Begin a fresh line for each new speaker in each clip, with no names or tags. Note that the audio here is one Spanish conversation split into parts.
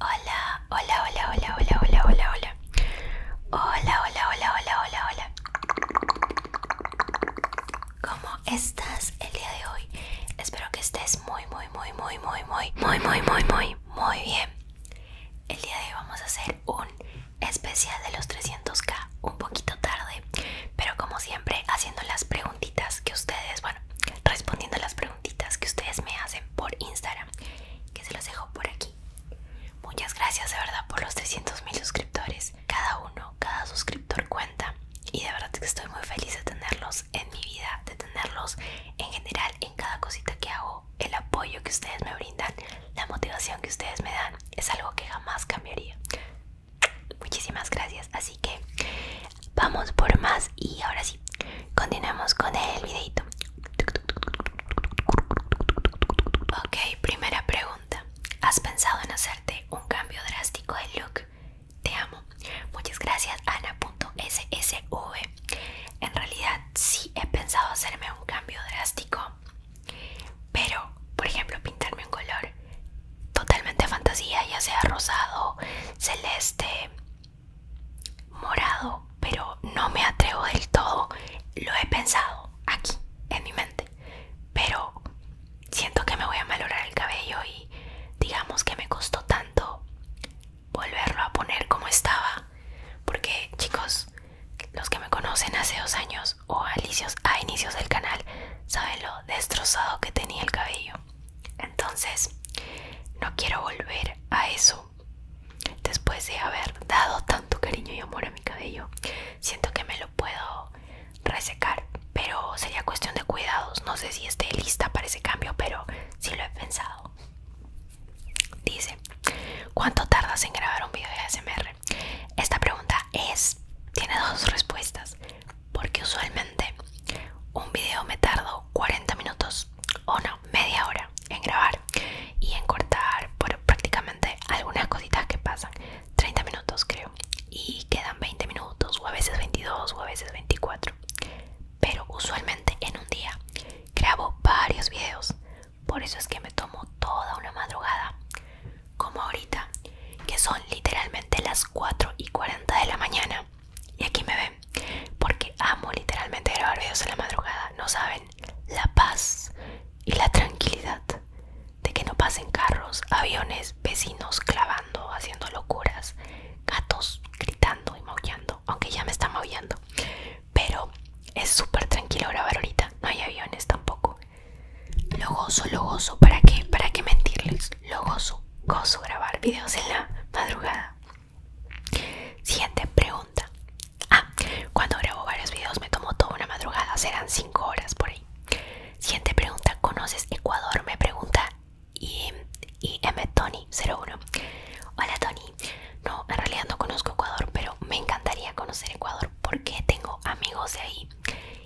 Hola, hola, hola, hola, hola, hola, hola, hola. Hola, hola, hola, hola, hola, hola. ¿Cómo estás el día de hoy? Espero que estés muy, muy, muy, muy, muy, muy, muy, muy, muy, muy, muy bien. El día de hoy vamos a hacer un especial de los 300k, un poquito tarde, pero como siempre haciendo las preguntitas que ustedes, bueno, respondiendo las preguntas que ustedes me hacen por Instagram, que se los dejo por aquí. Muchas gracias de verdad por los 300 mil suscriptores. Cada uno, cada suscriptor cuenta. Y de verdad que estoy muy feliz de tenerlos en mi vida, de tenerlos en general en cada cosita que hago. El apoyo que ustedes me brindan, la motivación que ustedes me dan, es algo que jamás cambiaría. Muchísimas gracias. Así que Vamos por más y ahora sí, continuamos con el videito. Ok, primera pregunta. ¿Has pensado en hacerte un cambio drástico de look? Te amo. Muchas gracias, Ana.ssv. En realidad sí he pensado hacerme un cambio drástico. Pero, por ejemplo, pintarme un color totalmente fantasía, ya sea rosado, celeste, morado, pero no me atrevo del todo. Lo he pensado aquí, en mi mente, pero siento que me voy a valorar el cabello y digamos que me costó tanto volverlo a poner como estaba, porque chicos, los que me conocen hace dos años o alicios a inicios del canal saben lo destrozado que tenía el cabello entonces, no quiero volver a eso. Después de haber dado tanto cariño y amor a mi cabello, siento que me lo puedo resecar. Pero sería cuestión de cuidados. No sé si esté lista para ese cambio, pero sí lo he pensado. Dice, ¿cuánto tardas en grabar un video de ASMR? Esta pregunta es, tiene dos respuestas porque usualmente un video me tardo 40 minutos o no, media hora en grabar y en cortar por prácticamente algunas cositas que pasan 30 minutos creo y quedan 20 minutos o a veces 22 o a veces 24 pero usualmente en un día grabo varios videos por eso es que me tomo toda una madrugada como ahorita que son literalmente las 4 y 40 de la mañana y aquí me ven porque amo literalmente grabar videos en la madrugada no saben la paz y la tranquilidad de que no pasen carros aviones vecinos clavando haciendo locuras gatos gritando y maullando aunque ya me están maullando pero es súper tranquilo grabar ahorita no hay aviones tampoco lo gozo, lo gozo, ¿para qué? ¿Para qué mentirles? Lo gozo, gozo grabar videos en la madrugada. Siguiente pregunta. Ah, cuando grabo varios videos me tomo toda una madrugada, serán 5 horas por ahí. Siguiente pregunta, ¿conoces Ecuador? Me pregunta y, M. Tony 01. Hola Tony, no, en realidad no conozco Ecuador, pero me encantaría conocer Ecuador porque tengo amigos de ahí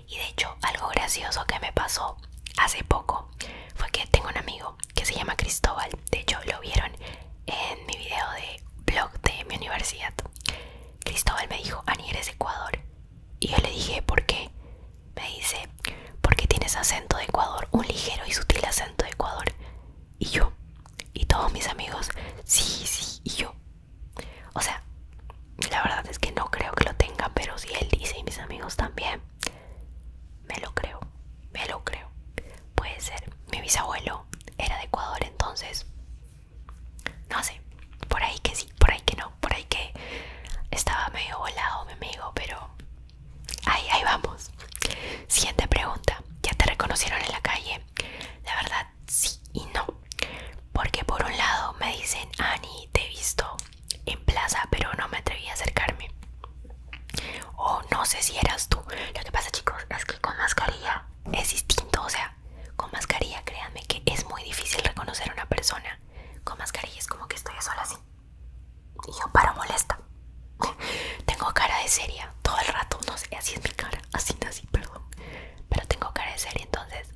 y de hecho, algo gracioso que me pasó hace poco fue que tengo un amigo que se llama Cristóbal. De hecho, lo vieron en mi video de blog de mi universidad. Cristóbal me dijo, Ani, eres Ecuador. Y yo le dije, ¿por qué? Me dice, porque tienes acento de Ecuador, un ligero y sutil acento de Ecuador. Y yo, y todos mis amigos, sí, sí, y yo. O sea, la verdad es que no creo que lo tenga, pero si él dice y mis amigos también, me lo creo, me lo creo. Puede ser, mi bisabuelo era de Ecuador, entonces, no sé, por ahí que sí, por ahí que no, por ahí que estaba medio volado mi amigo, pero ahí, ahí vamos. Siguiente pregunta, ¿ya te reconocieron en la calle? La verdad, sí y no porque por un lado me dicen, Ani, te he visto en plaza, pero no me atreví a acercarme. O no sé si eras tú. Lo que pasa, chicos, es que con mascarilla es distinto. O sea, con mascarilla, créanme que es muy difícil reconocer a una persona. Con mascarilla es como que estoy sola así. Y yo paro molesta. tengo cara de seria todo el rato. No sé, así es mi cara. Así, así, perdón. Pero tengo cara de seria, entonces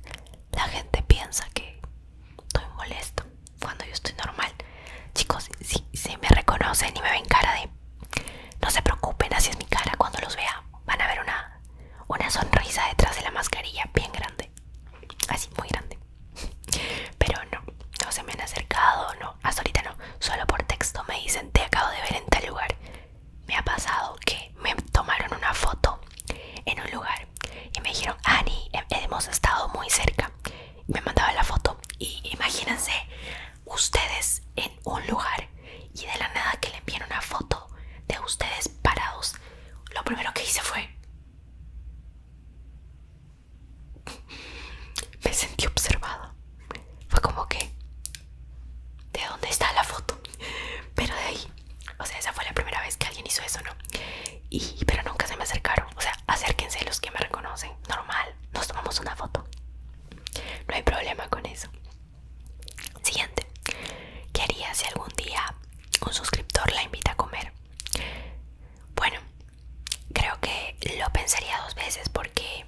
la gente piensa que estoy molesto cuando yo estoy normal. Chicos, si, me reconocen y me ven cara de... No se preocupen, así es mi cara. Cuando los vea van a ver una, una sonrisa detrás de la mascarilla bien grande. Así, muy grande. Pero no, no se me han acercado, no, hasta ahorita no. Solo por texto me dicen, te acabo de ver en tal lugar. Me ha pasado que me tomaron una foto en un lugar y me dijeron, Annie hemos estado muy cerca. me mandaba la foto y imagínense ustedes en un lugar y de la nada que le envían una foto de ustedes parados. Lo primero que hice fue... me sentí observada. Fue como que de dónde está la foto pero de ahí o sea esa fue la primera vez que alguien hizo eso no y pero nunca se me acercaron o sea acérquense los que me reconocen normal nos tomamos una foto no hay problema con eso siguiente qué haría si algún día un suscriptor la invita a comer bueno creo que lo pensaría dos veces porque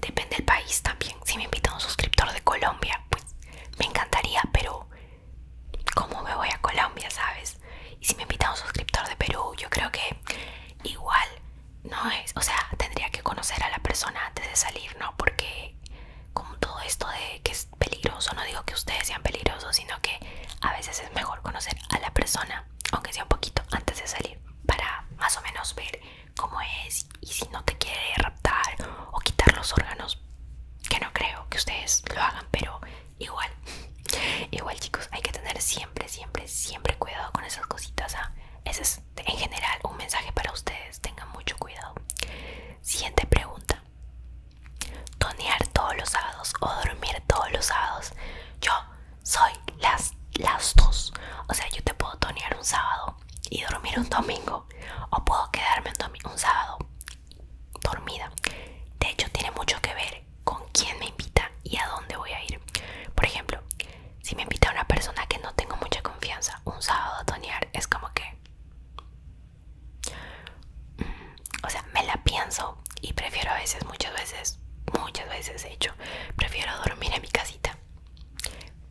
depende del país también si me invita un suscriptor de Colombia pues me encantaría pero cómo me voy a Colombia, ¿sabes? Y si me invita a un suscriptor de Perú, yo creo que igual no es, o sea, tendría que conocer a la persona antes de salir, ¿no? Porque como todo esto de que es peligroso, no digo que ustedes sean peligrosos, sino que a veces es mejor conocer a la persona, aunque sea un poquito antes de salir, para más o menos ver cómo es y si no te quiere raptar o quitar los órganos, que no creo que ustedes lo hagan, pero igual, igual chicos, hay que tener siempre, siempre, siempre cuidado con esas cositas. ¿ah? Ese es en general un mensaje para ustedes, tengan mucho cuidado. Siguiente pregunta. Tonear todos los sábados o dormir todos los sábados. Yo soy las, las dos. O sea, yo te puedo tonear un sábado y dormir un domingo o puedo quedarme un, un sábado dormida. De hecho, tiene mucho que ver con quién me invita y a dónde voy a ir. Por ejemplo, si me invita una persona que no tengo mucha confianza, un sábado a tonear es como que... Mm, o sea, me la pienso y prefiero a veces, muchas veces, muchas veces de hecho, prefiero dormir en mi casita.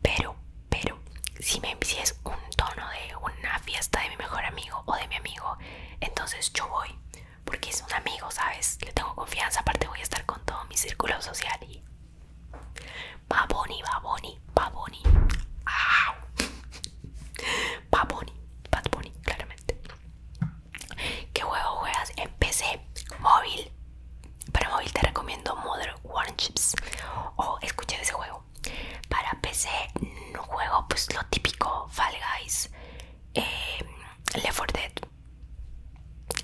Pero pero si, me, es un tono de una fiesta de mi mejor amigo o de mi amigo, entonces yo voy. Porque es un amigo, ¿sabes? Le tengo confianza. Aparte, voy a estar con todo mi círculo social. Y. Baboni, Baboni, Baboni. ¡Au! Baboni, Bad claramente. ¿Qué juego juegas? En PC, móvil. Para móvil te recomiendo Modern Chips O escuché ese juego. Para PC juego pues lo típico, Fall Guys, em, Left 4 Dead.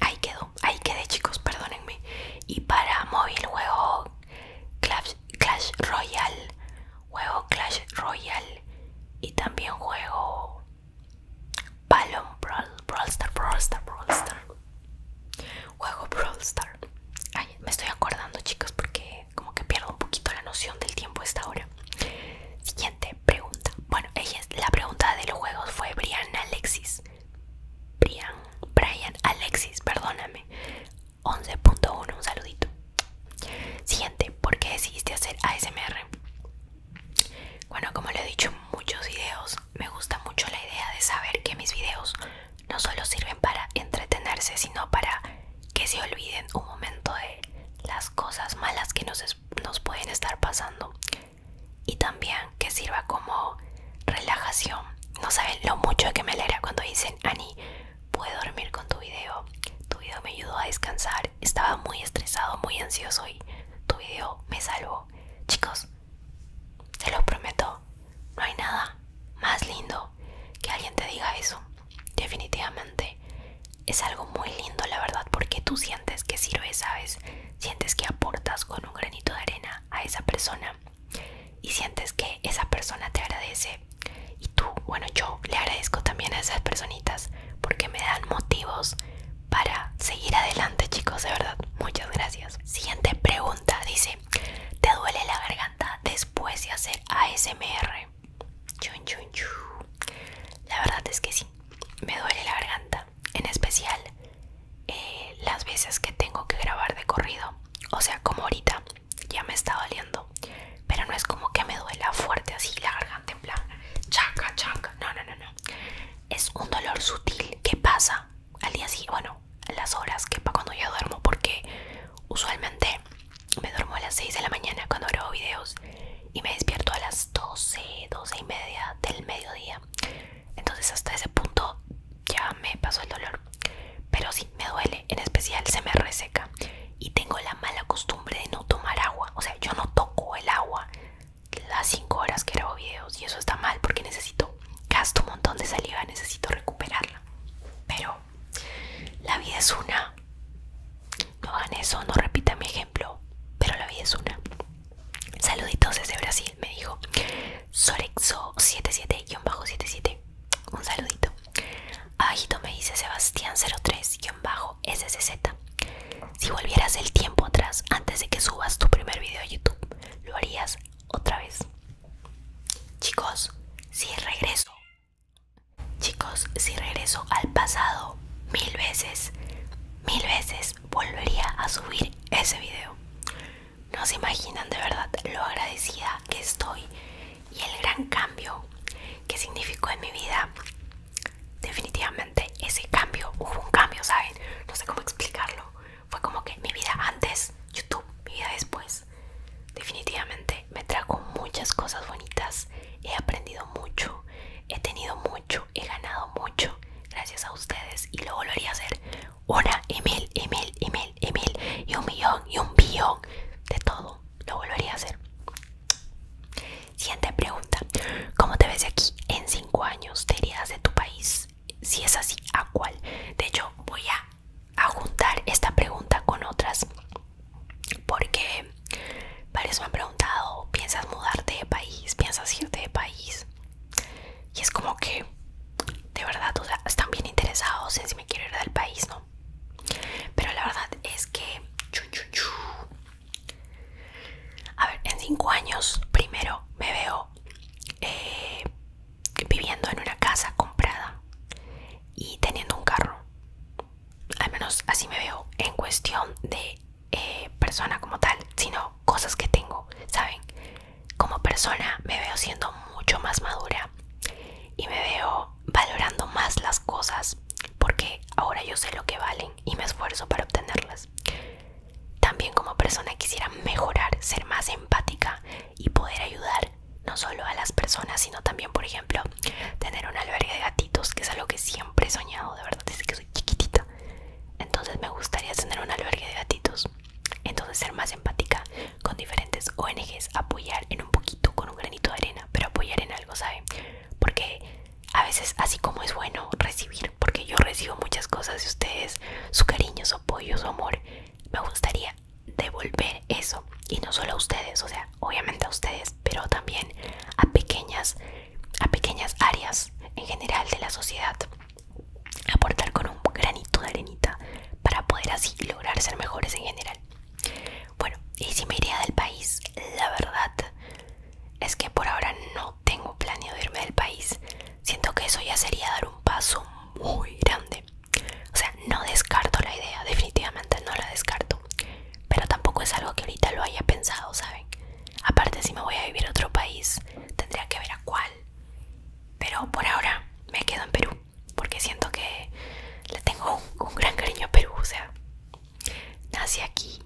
Ahí quedó, ahí quedé chicos, perdónenme. Y para móvil juego Clash, Clash Royale, juego Clash Royale y también juego Balloon Brawl Star, Juego Brawl Star. Ay, me estoy acordando, chicos, porque como que pierdo un poquito la noción del tiempo esta hora. Siguiente pregunta. Bueno, ella, la pregunta de los juegos fue Brian Alexis. Brian, Brian Alexis, perdóname. 11.1, un saludito. Siguiente, ¿por qué decidiste hacer ASMR? Bueno, como lo he dicho en muchos videos, me gusta mucho la idea de saber que mis videos no solo sirven para entretenerse, sino para que se olviden un momento de las cosas malas que nos, pueden estar pasando. Y también que sirva como relajación. No saben lo mucho que me alegra cuando dicen, Ani, pude dormir con tu video. Tu video me ayudó a descansar. Estaba muy estresado, muy ansioso y tu video me salvó. Chicos, te lo prometo, no hay nada más lindo que alguien te diga eso. Definitivamente es algo muy lindo, la verdad, porque tú sientes que sirve, ¿sabes? Sientes que aportas con un granito de arena a esa persona y sientes que esa persona te agradece. Y tú, bueno, yo le agradezco también a esas personitas porque me dan motivos para seguir adelante, chicos, de verdad. Muchas gracias. Siguiente pregunta, dice, ¿Te duele la garganta después de hacer ASMR? La verdad es que sí, me duele la garganta. En especial eh, las veces que tengo que grabar de corrido. O sea, como ahorita ya me está doliendo. Pero no es como que me duela fuerte así la garganta en plan chaca, chaca. No, no, no, no. Es un dolor sutil que pasa al día sí, bueno, las horas que para cuando ya duermo, porque usualmente me duermo a las 6 de la mañana cuando grabo videos y me despierto a las 12, 12 y media del mediodía. Entonces hasta ese punto ya me pasó el dolor. Pero sí, me duele, en especial se me reseca. Y tengo la mala costumbre de no tomar agua. O sea, yo no toco el agua las 5 horas que grabo videos y eso está mal porque necesito gasto un montón de saliva, necesito recuperarla. Pero la vida es una. No hagan eso, no repitan mi ejemplo, pero la vida es una. Saluditos desde Brasil, me dijo Sorexo77-77. Un saludito. Abajito me dice Sebastián03-SCZ. Si volvieras el tiempo atrás antes de que subas tu primer video a YouTube, ¿lo harías? otra vez. Chicos, si regreso. Chicos, si regreso al pasado mil veces, mil veces volvería a subir ese video. No se imaginan de verdad lo agradecida que estoy y el gran cambio que significó en mi vida. Definitivamente ese cambio, hubo un cambio, ¿saben? No sé cómo explicarlo fue como que mi vida antes, YouTube, mi vida después. Definitivamente me trajo muchas cosas bonitas, he aprendido mucho, he tenido mucho, he ganado mucho gracias a ustedes y lo volvería a hacer una y mil y mil y un millón y un billón de todo, lo volvería a hacer. Siguiente pregunta, ¿cómo te ves aquí en cinco años? ¿Te irías de tu país? si es así, ¿a cuál? De hecho, voy a, juntar esta pregunta con otras porque varios me han preguntado, ¿piensas mudarte de país? ¿Piensas irte de país? Y es como que, de verdad, están bien interesados en si me quiero ir del país, ¿no? Pero la verdad es que... A ver, en cinco años, primero me veo eh, viviendo en una casa comprada y teniendo un carro. Al menos así me veo en cuestión de eh, persona como tal, sino cosas que tengo, ¿saben? Como persona me veo siendo mucho más madura y me veo valorando más las cosas porque ahora yo sé lo que valen y me esfuerzo para obtenerlas. También como persona quisiera mejorar, ser más empática y poder ayudar no solo a las personas, sino también, por ejemplo, tener un albergue de gatitos, que es algo que siempre he soñado, de verdad, desde que soy chiquitita. Entonces me gustaría tener un albergue de gatitos. Entonces ser más empática con diferentes ONGs, apoyar en un poquito, con un granito de arena, pero apoyar en algo, ¿sabe? Porque a veces así como es bueno recibir, porque yo recibo muchas cosas de ustedes, su cariño, su apoyo, su amor. Me gustaría devolver eso, y no solo a ustedes, o sea, obviamente a ustedes, pero también a pequeñas, a pequeñas áreas en general de la sociedad. Aportar con un granito de arenita para poder así lograr ser mejores en general. Bueno, y si me iría del país, la verdad es que por ahora no tengo planeado irme del país. Siento que eso ya sería dar un paso muy grande. O sea, no descarto la idea, definitivamente no la descarto. Pero tampoco es algo que ahorita lo haya pensado, ¿saben? Aparte, si me voy a vivir a otro país, tendría que ver a cuál. Pero por ahora me quedo en Perú, porque siento que le tengo un gran cariño a Perú. O sea, nací aquí,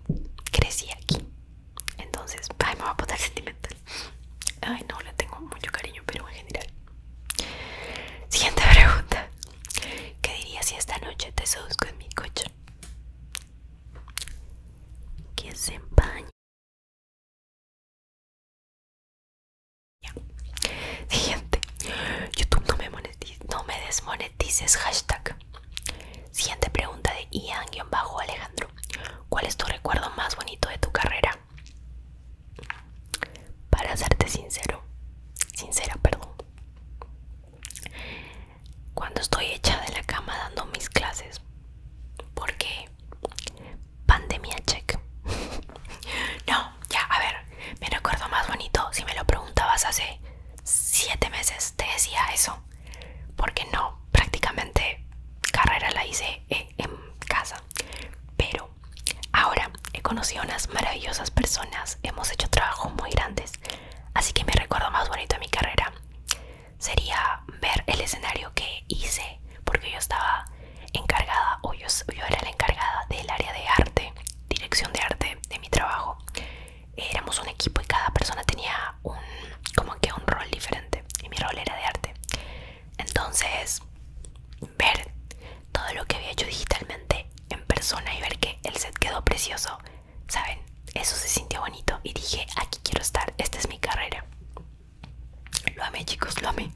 crecí aquí, entonces, ay, me va a poner sentimental. Ay, no, le tengo mucho cariño, pero en general. Siguiente pregunta. ¿Qué dirías si esta noche te seduzco en mi coche? ¿Quién se empaña? Siguiente. YouTube no me, monetiz no me desmonetices. Hashtag. Siguiente pregunta de Ian-Alejandro. ¿Cuál es tu recuerdo más bonito de tu carrera? Para serte sincero, sincera, perdón. Cuando estoy hecha de la cama dando mis clases, porque pandemia check. no, ya, a ver, mi recuerdo más bonito, si me lo preguntabas hace siete meses, te decía eso porque no, prácticamente carrera la hice eh, en casa. Pero ahora he conocido unas maravillosas personas, hemos hecho trabajos muy grandes, así que me recuerdo más bonito de mi carrera sería ver el escenario que hice, porque yo estaba encargada, o yo, yo era la encargada del área de arte, dirección de arte de mi trabajo éramos un equipo y cada persona tenía un como que un rol diferente y mi rol era de arte entonces ver todo lo que había hecho digitalmente en persona y ver que el set quedó precioso saben eso se sintió bonito y dije aquí quiero estar esta es mi carrera lo amé chicos lo amé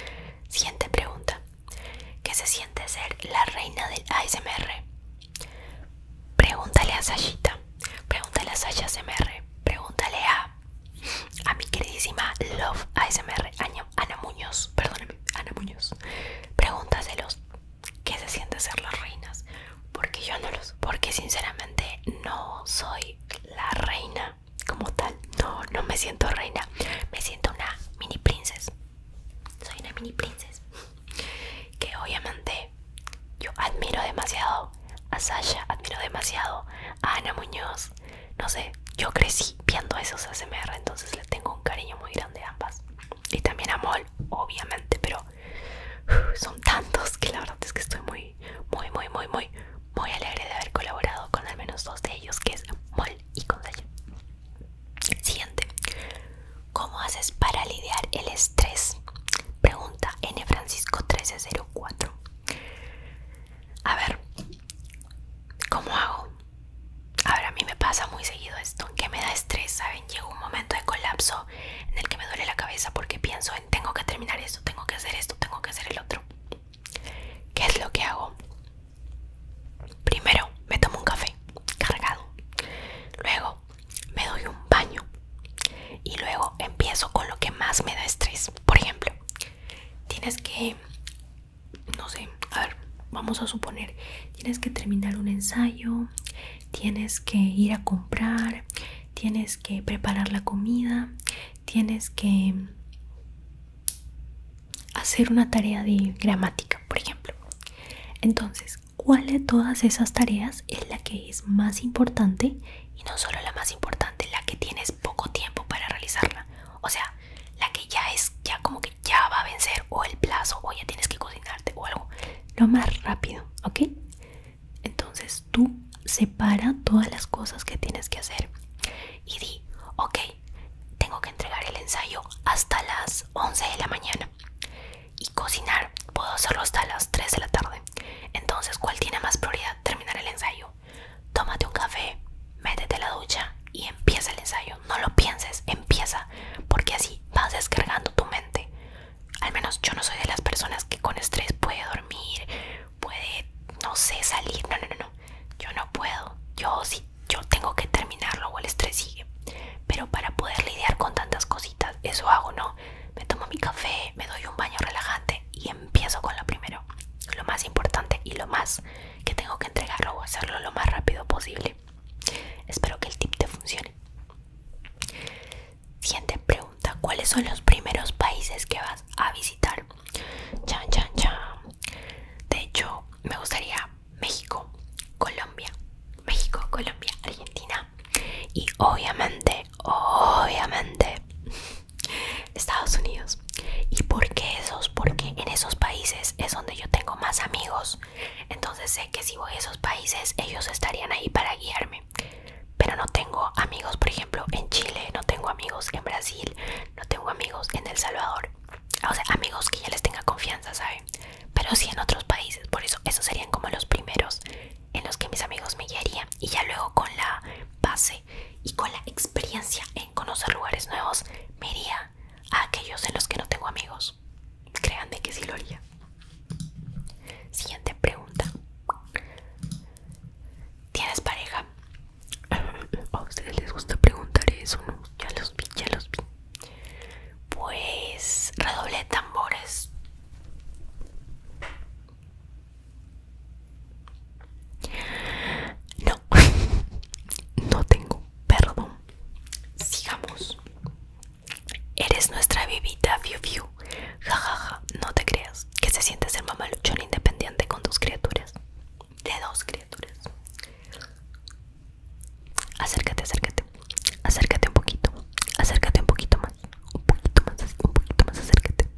siguiente pregunta ¿qué se siente ser la reina del ASMR? Pregúntale a Sashita, pregúntale a Sasha SMR, pregúntale a, a mi queridísima Love ASMR, Ana Muñoz, perdóname, Ana Muñoz. Pregúntaselos qué se siente ser las reinas, porque yo no los, porque sinceramente no soy la reina como tal, no, no me siento reina, me siento una mini princesa. Soy una mini princesa que obviamente yo admiro demasiado a Sasha, admiro demasiado a Ana Muñoz. No sé, yo crecí viendo esos ASMR, entonces le tengo un cariño muy grande a ambas. Y también a Mol, obviamente, pero son tantos que la verdad es que estoy muy, muy, muy, muy, muy, muy alegre de haber colaborado con al menos dos de ellos, que es Mol y con Sasha. Siguiente. ¿Cómo haces para lidiar el estrés? Pregunta N. Francisco 1304. A ver, ¿cómo hago? A ver, a mí me pasa muy seguido esto, que me da estrés, ¿saben? Llega un momento de colapso en el que me duele la cabeza porque pienso en tengo que terminar esto, tengo que hacer esto, tengo que hacer el otro. ¿Qué es lo que hago? Primero me tomo un café cargado. Luego me doy un baño y luego empiezo con lo que más me da estrés. Por ejemplo, tienes que, no sé, a ver, vamos a suponer, tienes que terminar un ensayo, tienes que ir a comprar, tienes que preparar la comida, tienes que hacer una tarea de gramática, por ejemplo. Entonces, cuál de todas esas tareas es la que es más importante y no solo la más importante, la que tienes poco tiempo para realizarla. O sea, la que ya es, ya como que ya va a vencer o el plazo o ya tienes que cocinarte o algo. Lo más rápido, ¿ok? Entonces tú separa todas las cosas que tienes que hacer y di, ok, tengo que entregar el ensayo hasta las 11 de la mañana y cocinar puedo hacerlo hasta las 3 de la tarde. Entonces, ¿cuál tiene más prioridad? Terminar el ensayo. Tómate un café, métete a la ducha y empieza el ensayo. No lo pienses, empieza, porque así vas descargando tu mente. Al menos yo no soy de las personas que con estrés puede dormir, puede, no sé, salir. No, no, no, no. Yo no puedo. Yo sí yo tengo que terminarlo o el estrés sigue. Pero para poder lidiar con tantas cositas, eso hago, ¿no? Me tomo mi café, me doy un baño relajante y empiezo con lo primero, lo más importante y lo más que tengo que entregarlo o hacerlo lo más rápido posible. Espero que el tip te funcione. Siguiente pregunta, ¿cuáles son los primeros países que vas a visitar? Chan, chan, chan. De hecho, me gustaría México, Colombia, México, Colombia, Argentina y obviamente, obviamente Estados Unidos. ¿Y por qué esos? Porque en esos países es donde yo tengo más amigos. Entonces sé que si voy a esos países ellos estarían ahí para guiarme. Pero no tengo amigos, por ejemplo, en Chile, no tengo amigos en Brasil, no tengo amigos en El Salvador o sea, amigos que ya les tenga confianza, ¿saben? Pero sí en otros países, por eso esos serían como los primeros en los que mis amigos me guiarían y ya luego con la base y con la experiencia en conocer lugares nuevos me iría a aquellos en los que no tengo amigos. de que sí lo haría. Siguiente pregunta. ¿Tienes pareja? A ustedes les gusta preguntar eso, ¿no? Ya los vi, ya los vi. Pues redoble tambores. No, no tengo perdón. Sigamos. Eres nuestra vivita, Fiu Fiu. Jajaja, ja, ja. no te creas. Que se siente ser mamaluchón independiente con tus criaturas de dos criaturas. Acércate, acércate, acércate un poquito, acércate un poquito más, un poquito más, un poquito más, acércate.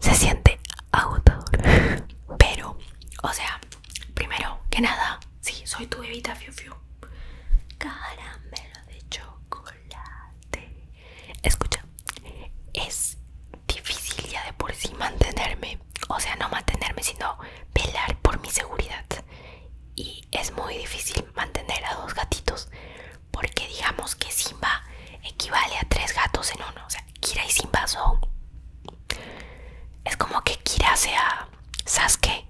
Se siente agotador, pero, o sea, primero que nada, sí, soy tu bebita fiu fiu. Caramelo de chocolate. Escucha, es difícil ya de por sí mantenerme o sea, no mantenerme, sino velar por mi seguridad. Y es muy difícil mantener a dos gatitos, porque digamos que Simba equivale a tres gatos en uno. O sea, Kira y Simba son. Es como que Kira sea Sasuke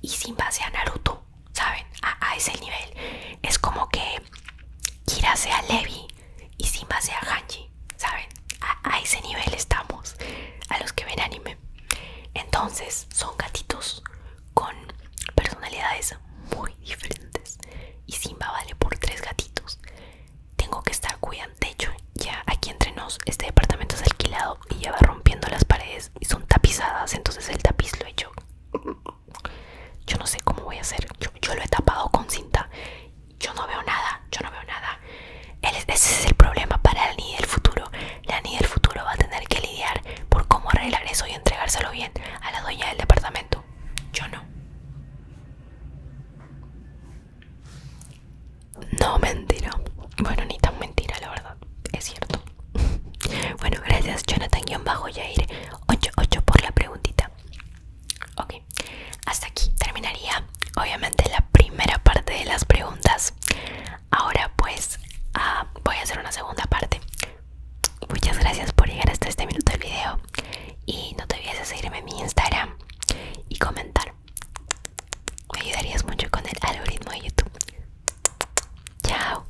y Simba sea Naruto, ¿saben? A, a ese nivel. Es como que Kira sea Levi y Simba sea Hanji, ¿saben? A, ese nivel estamos, a los que ven anime. Entonces, son gatitos con personalidades muy diferentes. Y Simba vale por tres gatitos. Tengo que estar cuidando. De hecho, ya aquí entre nos, este departamento es alquilado y ya va rompiendo las paredes y son tapizadas. Entonces, el tapiz lo he hecho. Yo no sé cómo voy a hacer. yo lo he tapado con cinta yo no veo nada, yo no veo nada. ese es el problema para la ni del futuro. La ni del futuro va a tener que lidiar por cómo arreglar eso y entregárselo bien a la dueña del departamento. Yo no. No, mentira. Bueno, ni tan mentira, la verdad. Es cierto. bueno, gracias, Jonathan-Yair88 por la preguntita. Ok. Hasta aquí terminaría obviamente la primera parte de las preguntas. Ahora pues ah, voy a hacer una segunda parte. Muchas gracias por llegar hasta este minuto del video y no te olvides de seguirme en mi Instagram y comentar. Me ayudarías mucho con el algoritmo de YouTube. Chao.